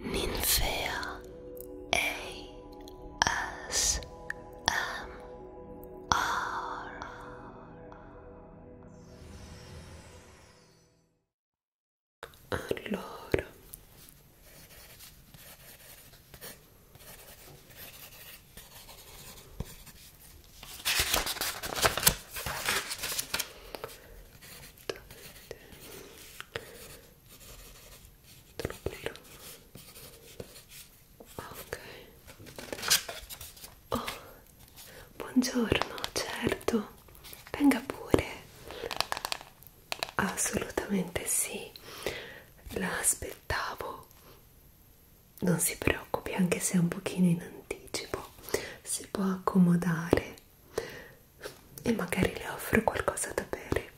Ninfea ASMR Allora esattamente Troverò. ok oh buongiorno certo venga pure assolutamente sì la aspettavo non si preoccupi anche se è un pochino in anticipo si può accomodare e magari le offro qualcosa da bere.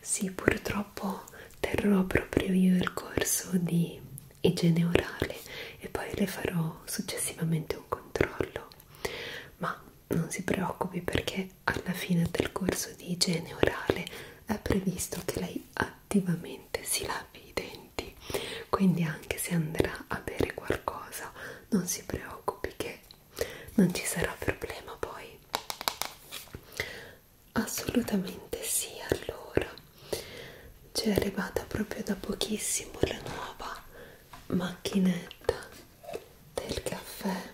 Sì, purtroppo terrò proprio io il corso di igiene orale e poi le farò successivamente un controllo, ma non si preoccupi perché alla fine del corso di igiene orale è previsto che lei attivamente si lavi i denti, quindi anche se andrà a bere qualcosa non si preoccupi che non ci sarà problema poi assolutamente sì allora ci è arrivata proprio da pochissimo la nuova macchinetta del caffè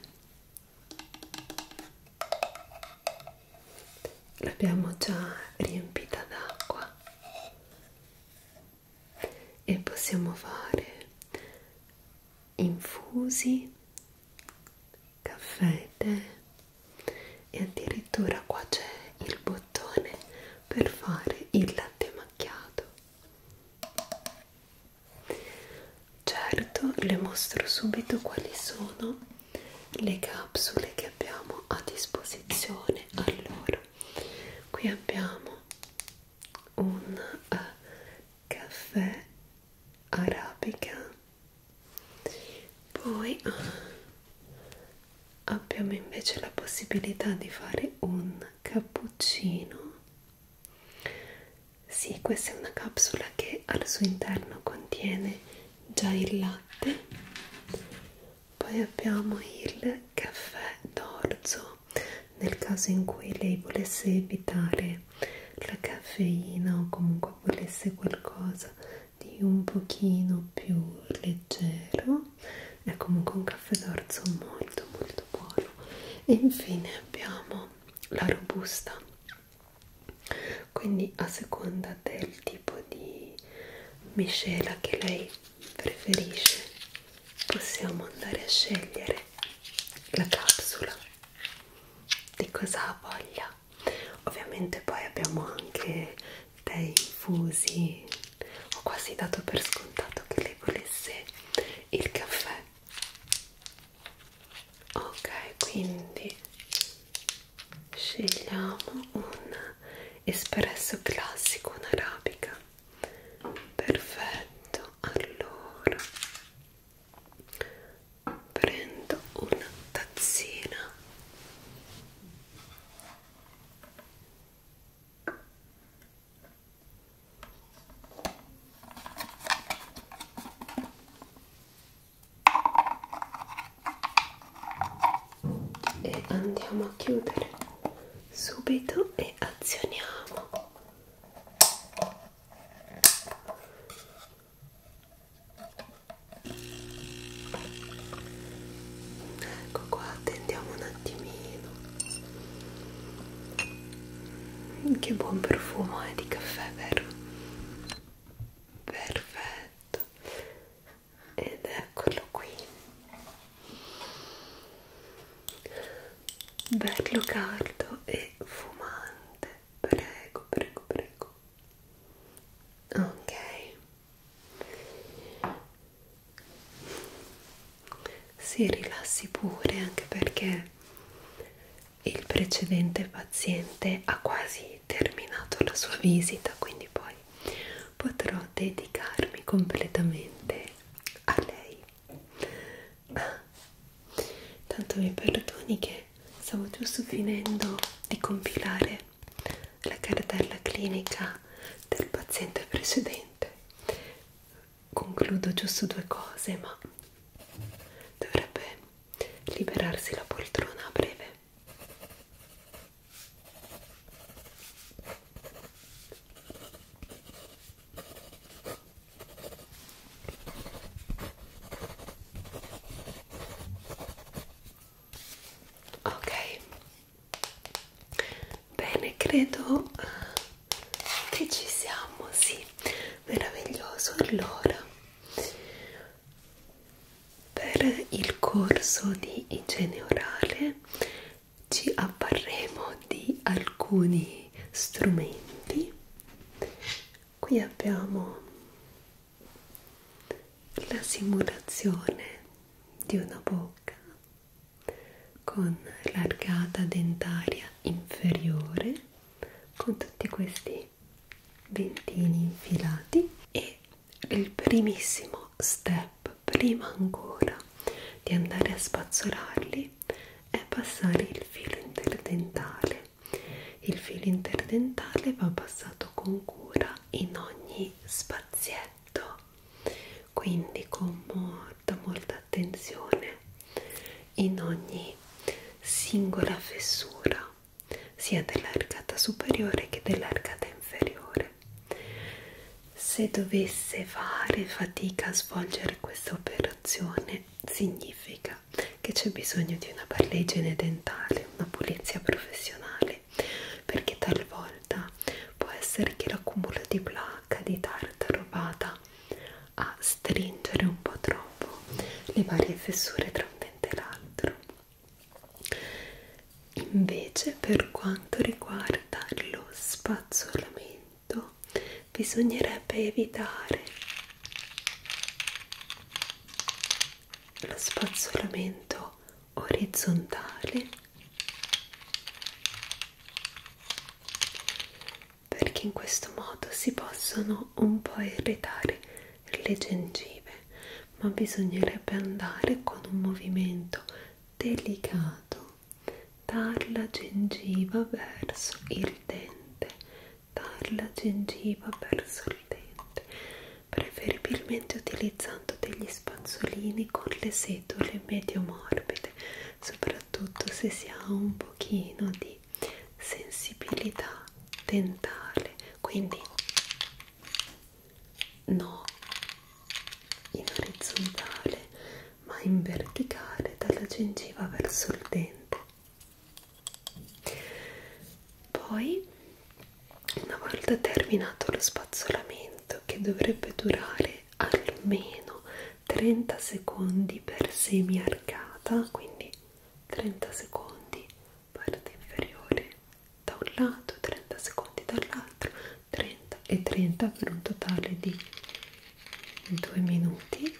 l'abbiamo già riempita d'acqua e possiamo fare infusi, caffè, tè e addirittura qua c'è il bottone per fare il latte macchiato. Certo, le mostro subito quali sono le capsule che abbiamo a disposizione. Allora, qui abbiamo un uh, caffè arabica poi eh, abbiamo invece la possibilità di fare un cappuccino sì questa è una capsula che al suo interno contiene già il latte poi abbiamo il caffè d'orzo nel caso in cui lei volesse evitare la caffeina o comunque volesse qualcosa di un pochino più leggero è comunque un caffè d'orzo molto molto buono e infine abbiamo la robusta quindi a seconda del tipo di miscela che lei preferisce possiamo andare a scegliere la capsula di cosa ha voglia ovviamente poi abbiamo anche dei infusi ho quasi dato per scontato che lei volesse il caffè ok quindi scegliamo un espresso classico un'arabica perfetto allora prendo una tazzina e andiamo a chiudere subito e azioniamo Ecco qua, attendiamo un attimino. Mm, che buon profumo è eh, di caffè, vero? Perfetto. Ed eccolo qui bello caldo e fumante prego prego prego ok si rilassi pure anche perché il precedente paziente ha quasi terminato la sua visita quindi poi potrò dedicarmi completamente a lei Tanto mi perdoni che stavo giusto finendo di compilare la cartella clinica del paziente precedente. Concludo giusto due cose, ma dovrebbe liberarsi la poltrona a breve ok bene credo che ci siamo sì meraviglioso allora per il corso di igiene orale ci apparremo di alcuni strumenti qui abbiamo la simulazione di una bocca con l'arcata dentaria inferiore con tutti questi dentini infilati e il primissimo step prima ancora di andare a spazzolarli è passare il filo interdentale. Il filo interdentale va passato con cura in ogni spazietto, quindi con molta molta attenzione in ogni singola fessura, sia dell'arcata superiore che dell'arcata inferiore. Se dovesse fare fatica a svolgere questa operazione, significa che c'è bisogno di una bella igiene dentale, una pulizia professionale, perché talvolta può essere che l'accumulo di placca, di tartaro vada a stringere un po' troppo le varie fessure tra un dente e l'altro. Invece, per quanto riguarda lo spazzolamento, tutto bisognerebbe evitare lo spazzolamento orizzontale perché in questo modo si possono un po' irritare le gengive ma bisognerebbe andare con un movimento delicato dalla gengiva verso il dente, dalla gengiva verso il dente, preferibilmente utilizzando degli spazzolini con le setole medio morbide, soprattutto se si ha un pochino di sensibilità dentale, quindi no in orizzontale ma in verticale dalla gengiva verso il dente. Poi, una volta terminato lo spazzolamento, che dovrebbe durare almeno 30 secondi per semi arcata, quindi 30 secondi parte inferiore da un lato, 30 secondi dall'altro, 30 e 30 per un totale di due minuti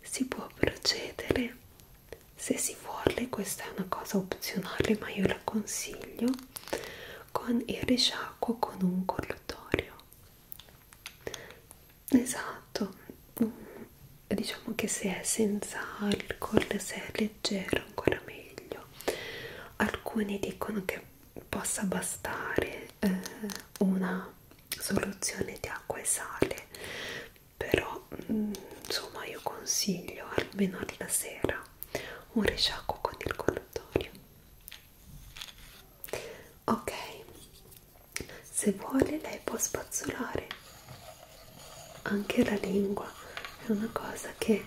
si può procedere se si vuole questa è una cosa opzionale ma io la consiglio con il risciacquo con un collutorio esatto mm, diciamo che se è senza alcol se è leggero ancora meglio alcuni dicono che possa bastare eh, una soluzione di acqua e sale però mh, mm, insomma io consiglio almeno alla sera un risciacquo con il colluttorio ok se vuole lei può spazzolare anche la lingua è una cosa che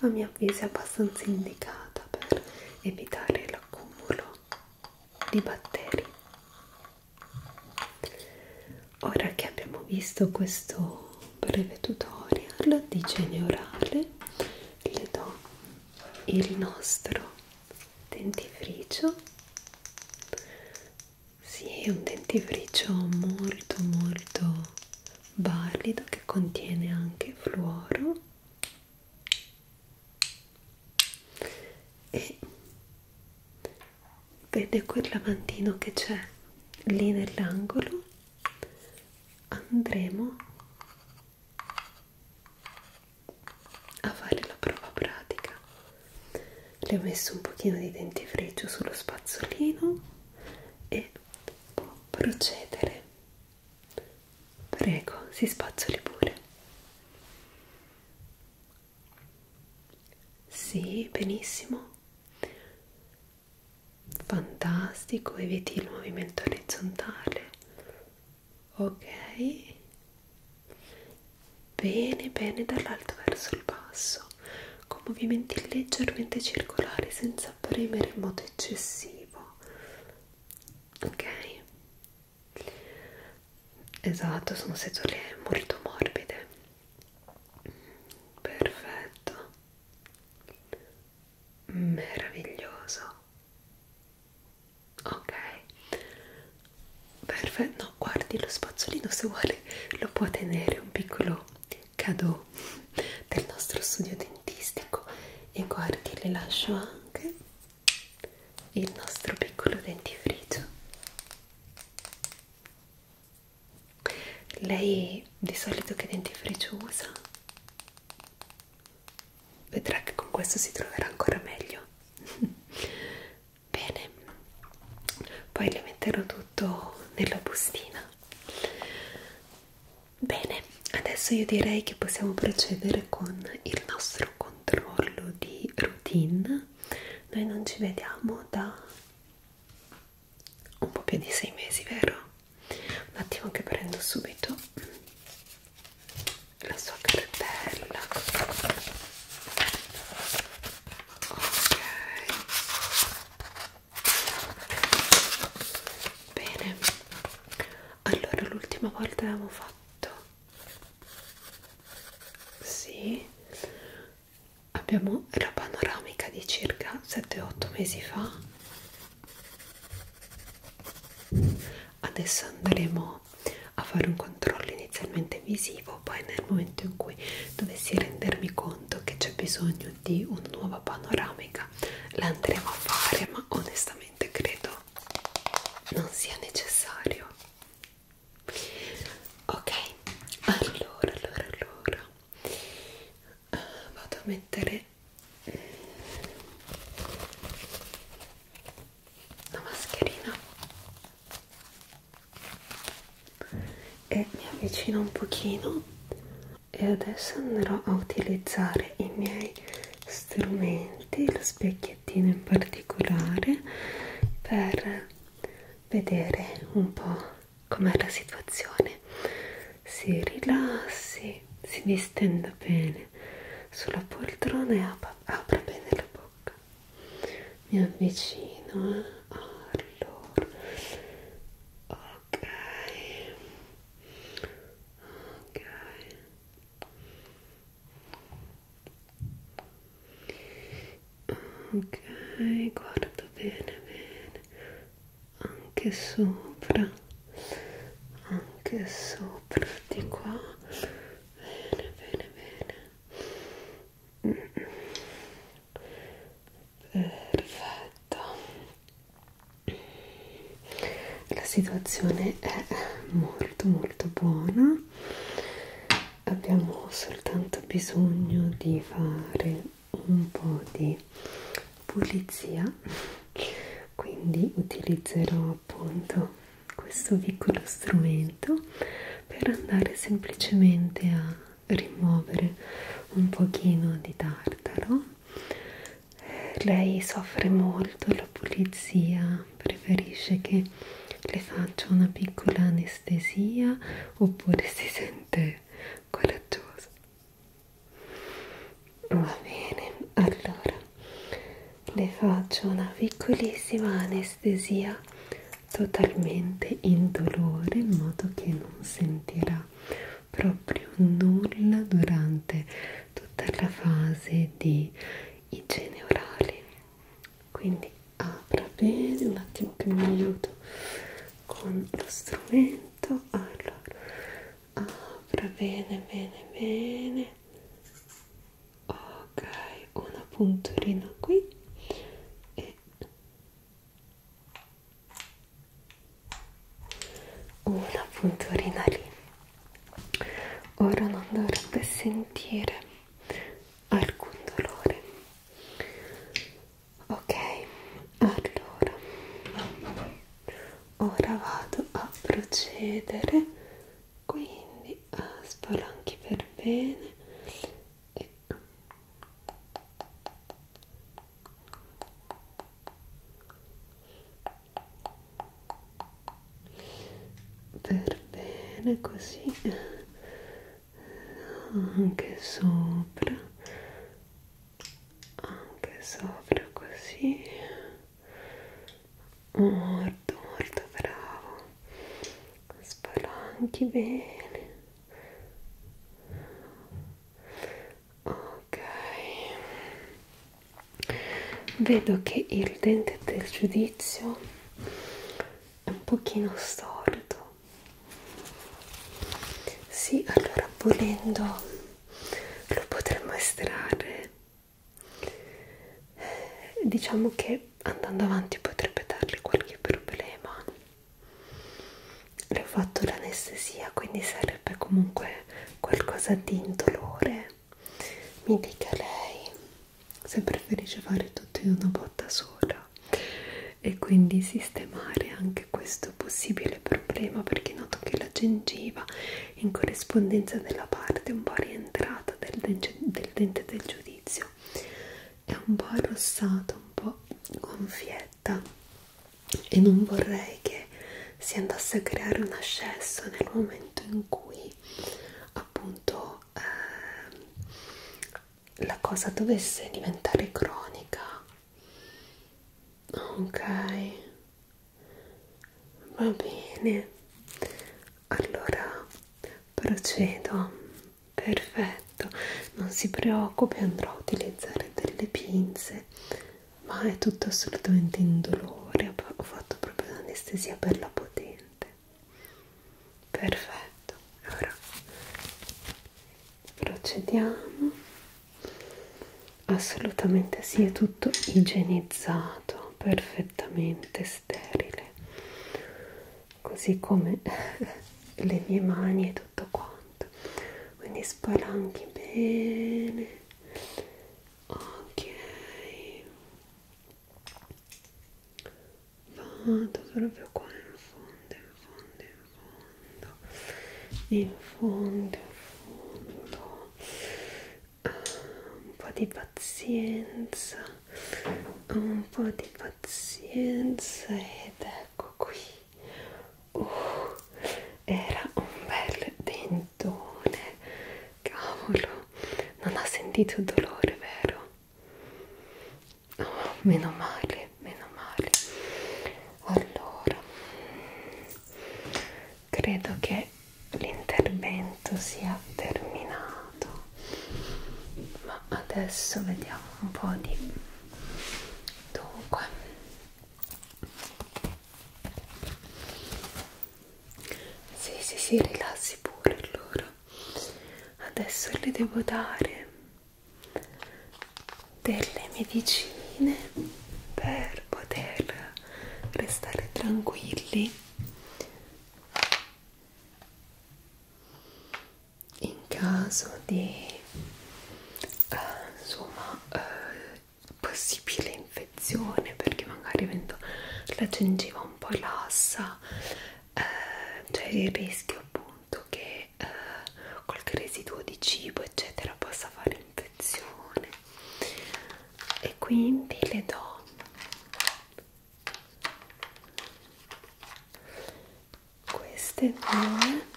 a mio avviso è abbastanza indicata per evitare l'accumulo di batteri ora che abbiamo visto questo breve tutorial di igiene orale le do il nostro dentifricio sì, è un dentifricio molto molto valido che contiene anche fluoro e vede quel lavandino che c'è lì nell'angolo andremo a fare la prova pratica le ho messo un pochino di dentifricio sullo spazzolino e può procedere Prego, si spazzoli pure. Sì, benissimo. Fantastico, eviti il movimento orizzontale. Ok. Bene, bene, dall'alto verso il basso, con movimenti leggermente circolari senza premere in modo eccessivo ok esatto sono setole molto morbide perfetto meraviglioso ok perfetto no guardi lo spazzolino se vuole lo può tenere un piccolo cadeau del nostro studio dentistico e guardi le lascio anche il nostro piccolo dentifricio lei di solito che dentifricio usa? vedrà che con questo si troverà ancora meglio bene poi le metterò tutto nella bustina Bene, adesso io direi che possiamo procedere con il nostro controllo di routine. Noi non ci vediamo da un po' più di sei mesi, vero? Un attimo che prendo subito la sua cartella. Ok. Bene, allora l'ultima volta avevamo fatto sì abbiamo la panoramica di circa 7-8 mesi fa adesso andremo a fare un controllo inizialmente visivo poi nel momento in cui dovessi rendermi conto che c'è bisogno di una nuova panoramica la andremo a fare ma onestamente sinceramente credo non sia necessario ok allora allora allora uh, vado a mettere la mascherina e mi avvicino un pochino e adesso andrò a utilizzare i miei strumenti lo specchiettino in particolare per vedere un po' com'è la situazione si rilassi si distenda bene sulla poltrona e apra, apra bene la bocca mi avvicino eh? allora ok ok ok guarda bene bene anche sopra anche sopra di qua bene bene bene perfetto la situazione è molto molto buona abbiamo soltanto bisogno di fare un po' di pulizia quindi utilizzerò appunto questo piccolo strumento per andare semplicemente a rimuovere un pochino di tartaro lei soffre molto la pulizia, preferisce che le faccia una piccola anestesia oppure si sente coraggiosa. Va bene, allora le faccio una piccolissima anestesia totalmente indolore in modo che non sentirà proprio nulla durante tutta la fase di igiene orale quindi apra bene un attimo che mi aiuto con lo strumento allora apra bene bene bene ok una punturina qui e una punturina lì ora non dovrebbe sentire alcun dolore ok allora ora vado a procedere quindi a ah, spalanchi per bene e per bene così anche sopra anche sopra così molto molto bravo spalanchi bene ok vedo che il dente del giudizio è un pochino storto sì allora volendo lo potremmo estrarre eh, diciamo che andando avanti potrebbe darle qualche problema le ho fatto l'anestesia quindi sarà sarebbe comunque qualcosa di indolore. Mi dica lei se preferisce fare tutto in una botta sola e quindi sistemare anche questo possibile problema perché noto che la gengiva in corrispondenza della parte un po' rientrata del dente del, dente del giudizio è un po' arrossata, un po' gonfietta e non vorrei che si andasse a creare un ascesso nel momento in cui appunto eh, la cosa dovesse diventare cronica ok va bene allora procedo perfetto non si preoccupi andrò a utilizzare delle pinze ma è tutto assolutamente indolore ho fatto proprio l'anestesia per la potente perfetto ora procediamo assolutamente sì è tutto igienizzato perfettamente sterile così come le mie mani e tutto quanto quindi spalanchi bene ok vado proprio qua in fondo in fondo in fondo in fondo in fondo ah, un po' di pazienza un po' di pazienza ed ecco qui Uh, era un bel dentone, cavolo, non ha sentito dolore, vero? Oh, meno male, meno male. Allora, credo che l'intervento sia terminato, ma adesso vediamo un po' di... Dunque, sì, sì, sì, rilassi pure allora. Adesso le devo dare delle medicine per poter restare tranquilli in caso di eh, insomma eh, possibile infezione perché magari avendo la gengiva un po' lassa eh, c'è il rischio appunto che eh, qualche residuo di cibo eccetera possa fare infezione e quindi le do queste due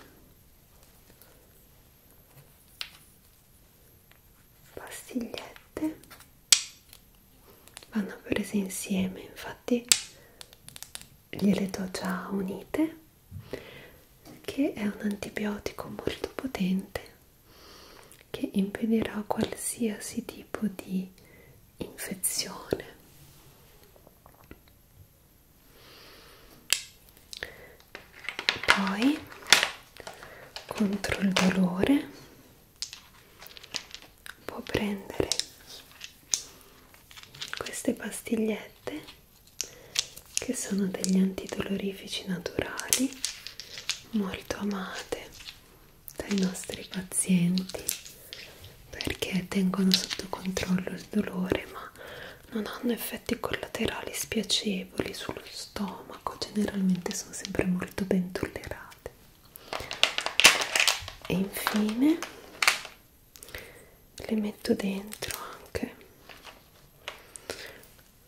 pastigliette vanno prese insieme infatti gliele do già unite che è un antibiotico molto potente che impedirà qualsiasi tipo di infezione poi contro il dolore può prendere queste pastigliette che sono degli antidolorifici naturali molto amate dai nostri pazienti perché tengono sotto controllo il dolore ma non hanno effetti collaterali spiacevoli sullo stomaco, generalmente sono sempre molto ben tollerate. E infine le metto dentro anche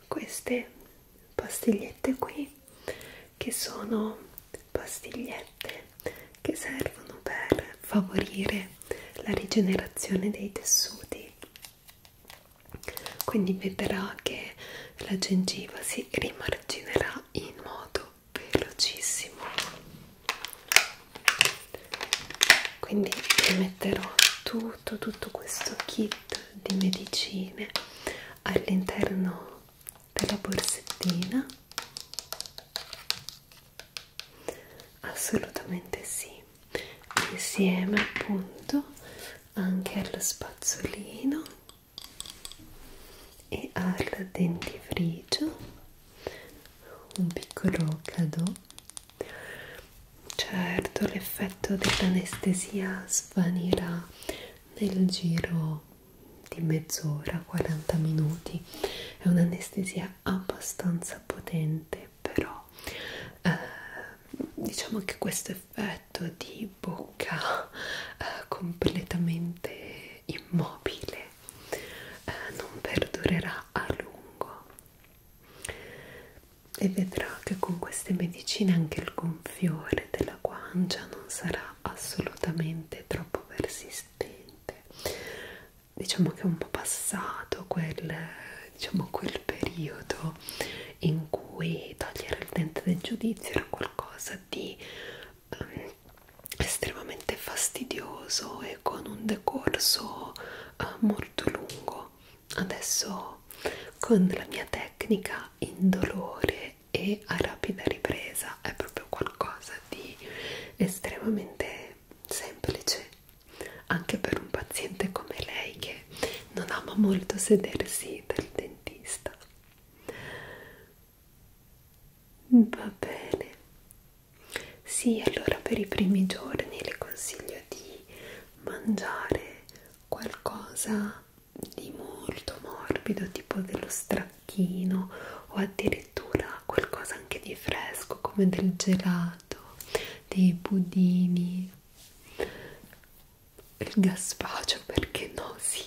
queste pastigliette qui che sono pastigliette che servono per favorire la rigenerazione dei tessuti quindi vedrà che la gengiva si rimarginerà in modo velocissimo quindi vi metterò tutto tutto questo kit di medicine all'interno della borsettina assolutamente sì insieme appunto anche allo spazzolino e al dentifricio un piccolo cadeau certo l'effetto dell'anestesia svanirà nel giro di mezz'ora 40 minuti è un'anestesia abbastanza potente però eh, diciamo che questo effetto di bocca eh, completamente immobile eh, non perdurerà a lungo e vedrà che con queste medicine anche il gonfiore della guancia non sarà assolutamente troppo persistente diciamo che è un po' passato quel diciamo quel periodo in cui togliere il dente del giudizio era qualcosa di um, estremamente fastidioso e con un decorso uh, molto lungo adesso con la mia tecnica indolore e a rapida ripresa è proprio qualcosa di estremamente semplice anche per un paziente come lei che non ama molto sedersi dal dentista. Va bene. Sì, allora per i primi giorni le consiglio di mangiare qualcosa di molto morbido, tipo dello stracchino o addirittura qualcosa anche di fresco come del gelato, dei budini il gaspacio perché no sì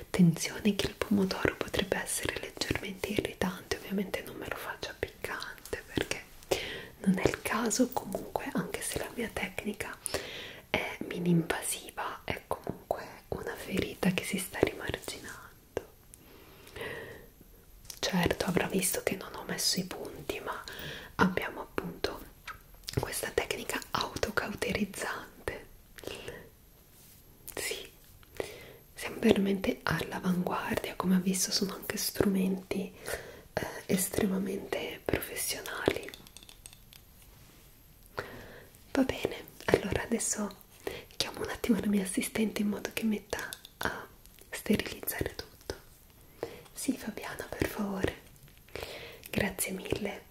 attenzione che il pomodoro potrebbe essere leggermente irritante ovviamente non me lo faccia piccante perché non è il caso comunque anche se la mia tecnica è mini invasiva è comunque una ferita che si sta rimarginando certo avrà visto che non ho messo i punti ma abbiamo appunto uso questa tecnica autocauterizzante sì siamo veramente all'avanguardia come ha visto sono anche strumenti eh, estremamente professionali va bene allora adesso chiamo un attimo la mia assistente in modo che metta a sterilizzare tutto sì, Fabiana, per favore. Grazie mille.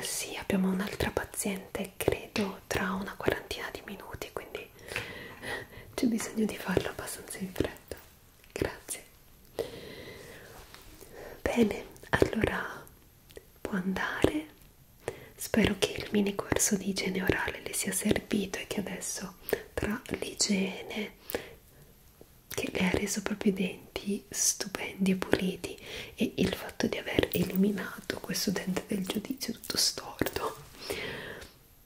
Sì, abbiamo un'altra paziente, credo, tra una quarantina di minuti, quindi c'è bisogno di farlo abbastanza in fretta. Grazie. Bene, allora può andare. Spero che il mini corso di igiene orale le sia servito e che adesso tra l'igiene che le ha reso proprio i denti stupendi e puliti e il fatto di aver eliminato questo dente del giudizio tutto storto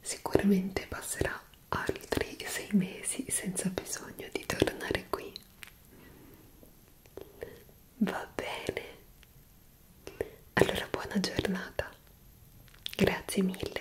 sicuramente passerà altri sei mesi senza bisogno di tornare qui va bene allora buona giornata grazie mille